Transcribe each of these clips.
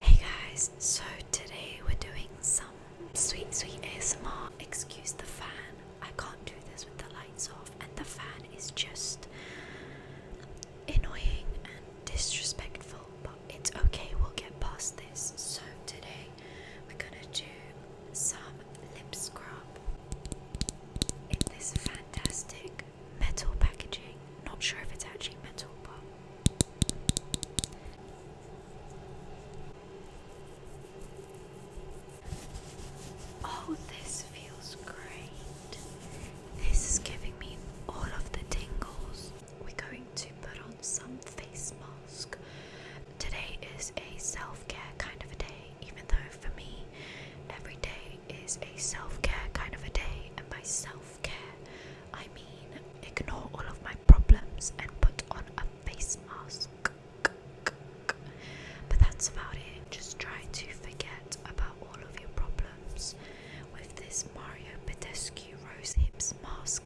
Hey guys, so today we're doing some sweet, sweet ASMR. Excuse the fan, I can't do this with the lights off, and the fan is just annoying and disrespectful. But it's okay, we'll get past this. So, today we're gonna do some lip scrub in this fantastic metal packaging. Not sure if it's actually metal, but. Oh, this feels great. This is giving me all of the tingles. We're going to put on some face mask. Today is a self care kind of a day, even though for me, every day is a self care kind of a day. And my self care, I mean ignore all of my problems and put on a face mask. But that's about it. Just try to forget about all of your problems with this Mario Badescu Rose Hips mask.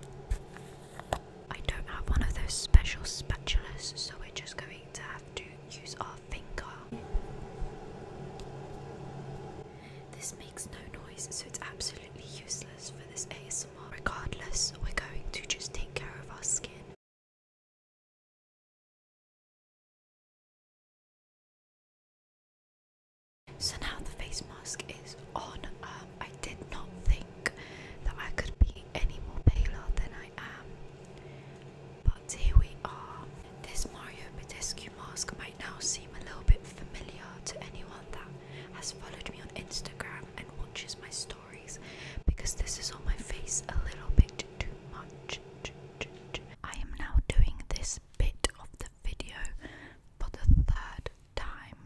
I don't have one of those special spatulas, so we're just going to have to use our finger. This makes no noise, so it's absolutely useless for this ASMR. Regardless, we're going to just take care of our skin so now the face mask is on. Um, I did not think that I could be any more paler than I am. But here we are. This Mario Badescu mask might now seem a little bit familiar to anyone that has followed me on Instagram and watches my stories because this is on my face a little bit too much. I am now doing this bit of the video for the third time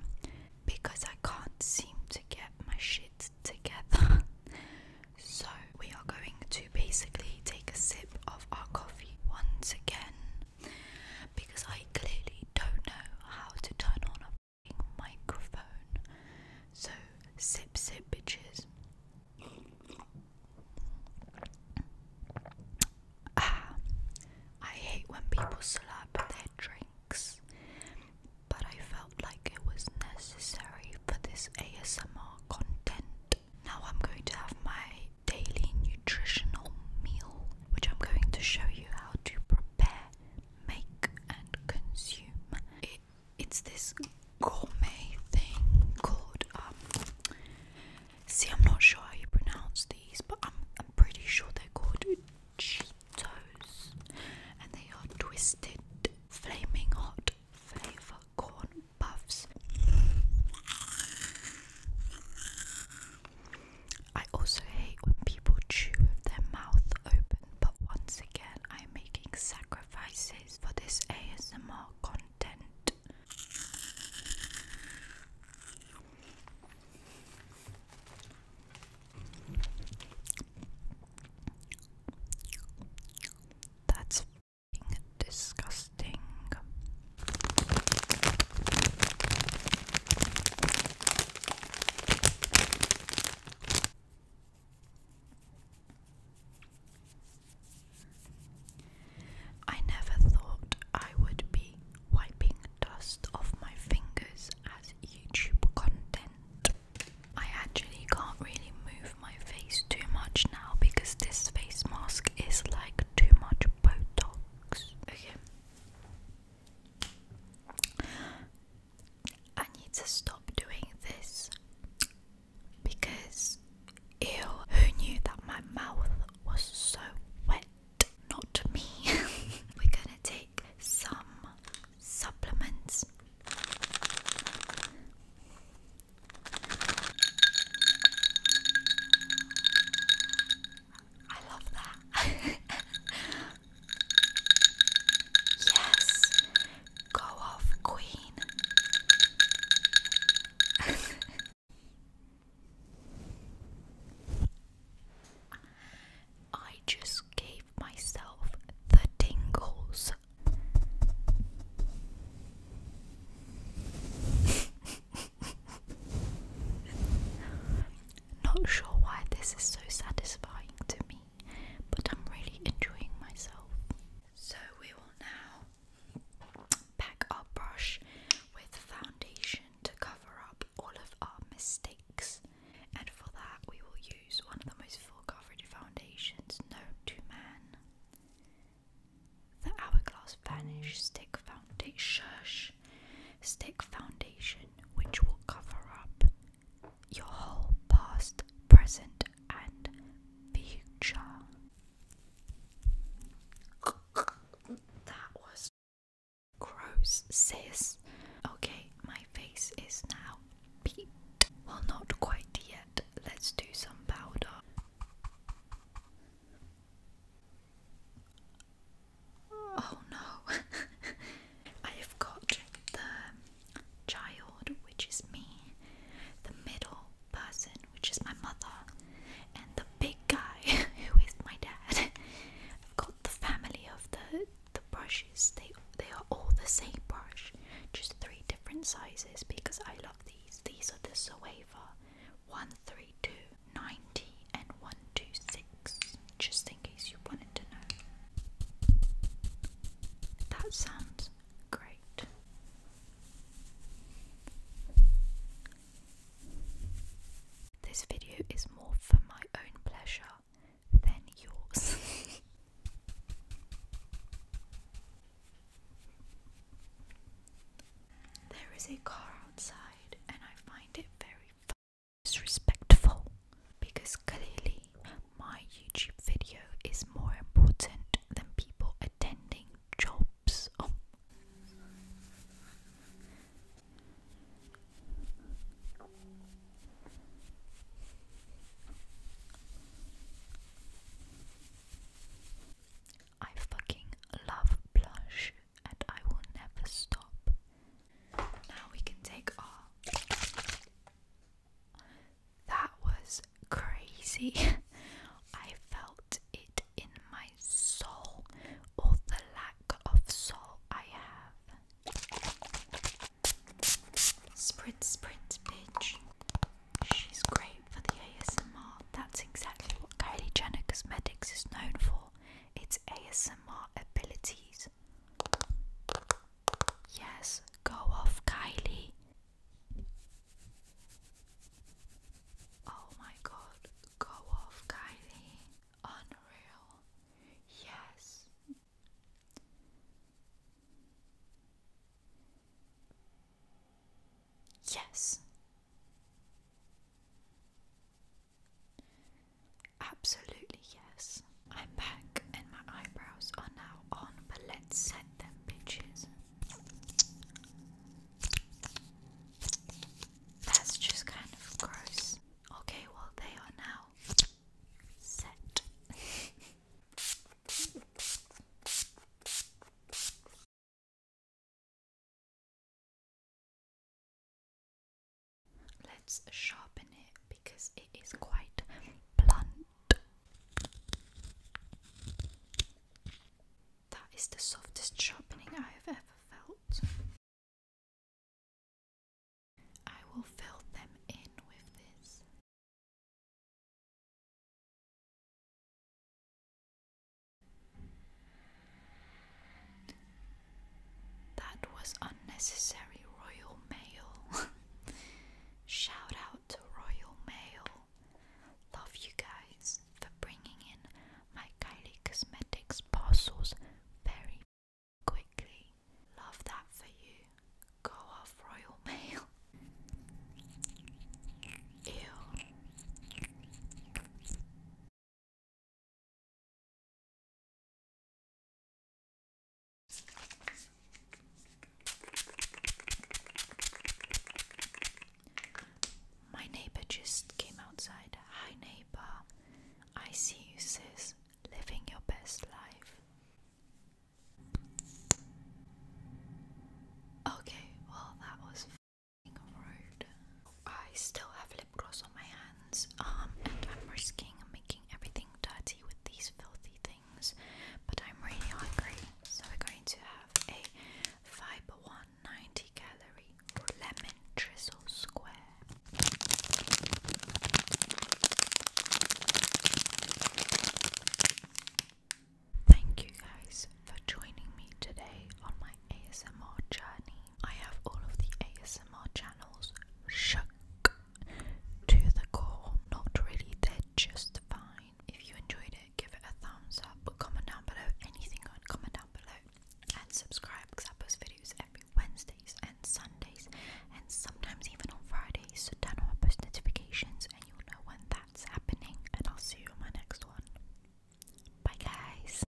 because I can't seem to get my shit together. so, we are going to basically take a sip of our coffee once again because I clearly don't know how to turn on a microphone. So, sip, sip, bitches. Ah, I hate when people slurp their drinks, but I felt like it was necessary for this ASMR content. Now I'm going to have my daily nutritional meal, which I'm going to show you how to prepare, make, and consume. It it's this gourmet thing called um, see I'm not sure how you pronounce these but I'm I'm pretty sure they're called Cheetos and they are twisted flaming hot flavor corn puffs. I also hate when people chew with their mouth open, but once again, I am making sacrifice for this ASMR content. That's disgusting. I never thought I would be wiping dust off my fingers as YouTube content. I actually can't really move my face too much now because this face mask is like too much Botox. Okay. I need to stop doing this because ew, who knew that my mouth was so wet? Not me. We're gonna take some supplements. I love that. yes, Go off, queen. I just gave myself the tingles. Not sure why this is so satisfying to me but I'm really enjoying myself. So, we will now pack our brush with foundation to cover up all of our mistakes, and for that, we will use one of the most full coverage foundations known to man the Hourglass Vanish Stick Foundation. Stick foundation, which will cover up your whole past, present, and future. That was gross, sis. Okay, my face is now beat. Well, not quite yet. Let's do some powder. Oh no, I have got the child, which is me, the middle person, which is my mother, and the big guy, who is my dad. I've got the family of the the brushes. They they are all the same brush, just three different sizes because I love these. These are the Zoeva 132, 90, and 126, just in case you wanted to know. That sounds great. This video is more for my own pleasure than yours. there is a car outside, and I find it very disrespectful because clearly my YouTube video is more important than people attending jobs. I fucking love blush and I will never stop. Now we can take our that was crazy. I felt it in my soul, or the lack of soul I have. Sprint, sprint, bitch. She's great for the ASMR. That's exactly what Kylie Jenner Cosmetics is known for. Its ASMR abilities. Yes, go off, Kylie. Oh my god, go off, Kylie. Unreal. Yes. Yes. Absolutely, yes. I'm back and my eyebrows are now on, but let's set them bitches. That's just kind of gross. Okay, well they are now set. Let's sharpen it because it is quite blunt. That is the softest sharpening I have ever felt. I will fill them in with this. That was unnecessary royal mail. Shout out to Royal Mail. Love you guys for bringing in my Kylie Cosmetics parcels very quickly. Love that for you. Go off, Royal Mail. Ew. My neighbor just came outside. Hi, neighbor. I see you, sis, living your best life. Okay, well, that was rude. I still have lip gloss on my hands, um, and I'm risking making everything dirty with these filthy things but I'm really hungry, so we're going to have a fiber 190 calorie lemon drizzle square. Thank you guys for joining me today on my ASMR journey. I have all of the ASMR channels shook to the core, not really, they're just fine. If you enjoyed it, give it a thumbs up, comment down below anything on, comment down below, and subscribe because I post videos every Wednesdays and Sundays, and sometimes even on Fridays. So turn on post notifications, and you'll know when that's happening. And I'll see you on my next one. Bye, guys.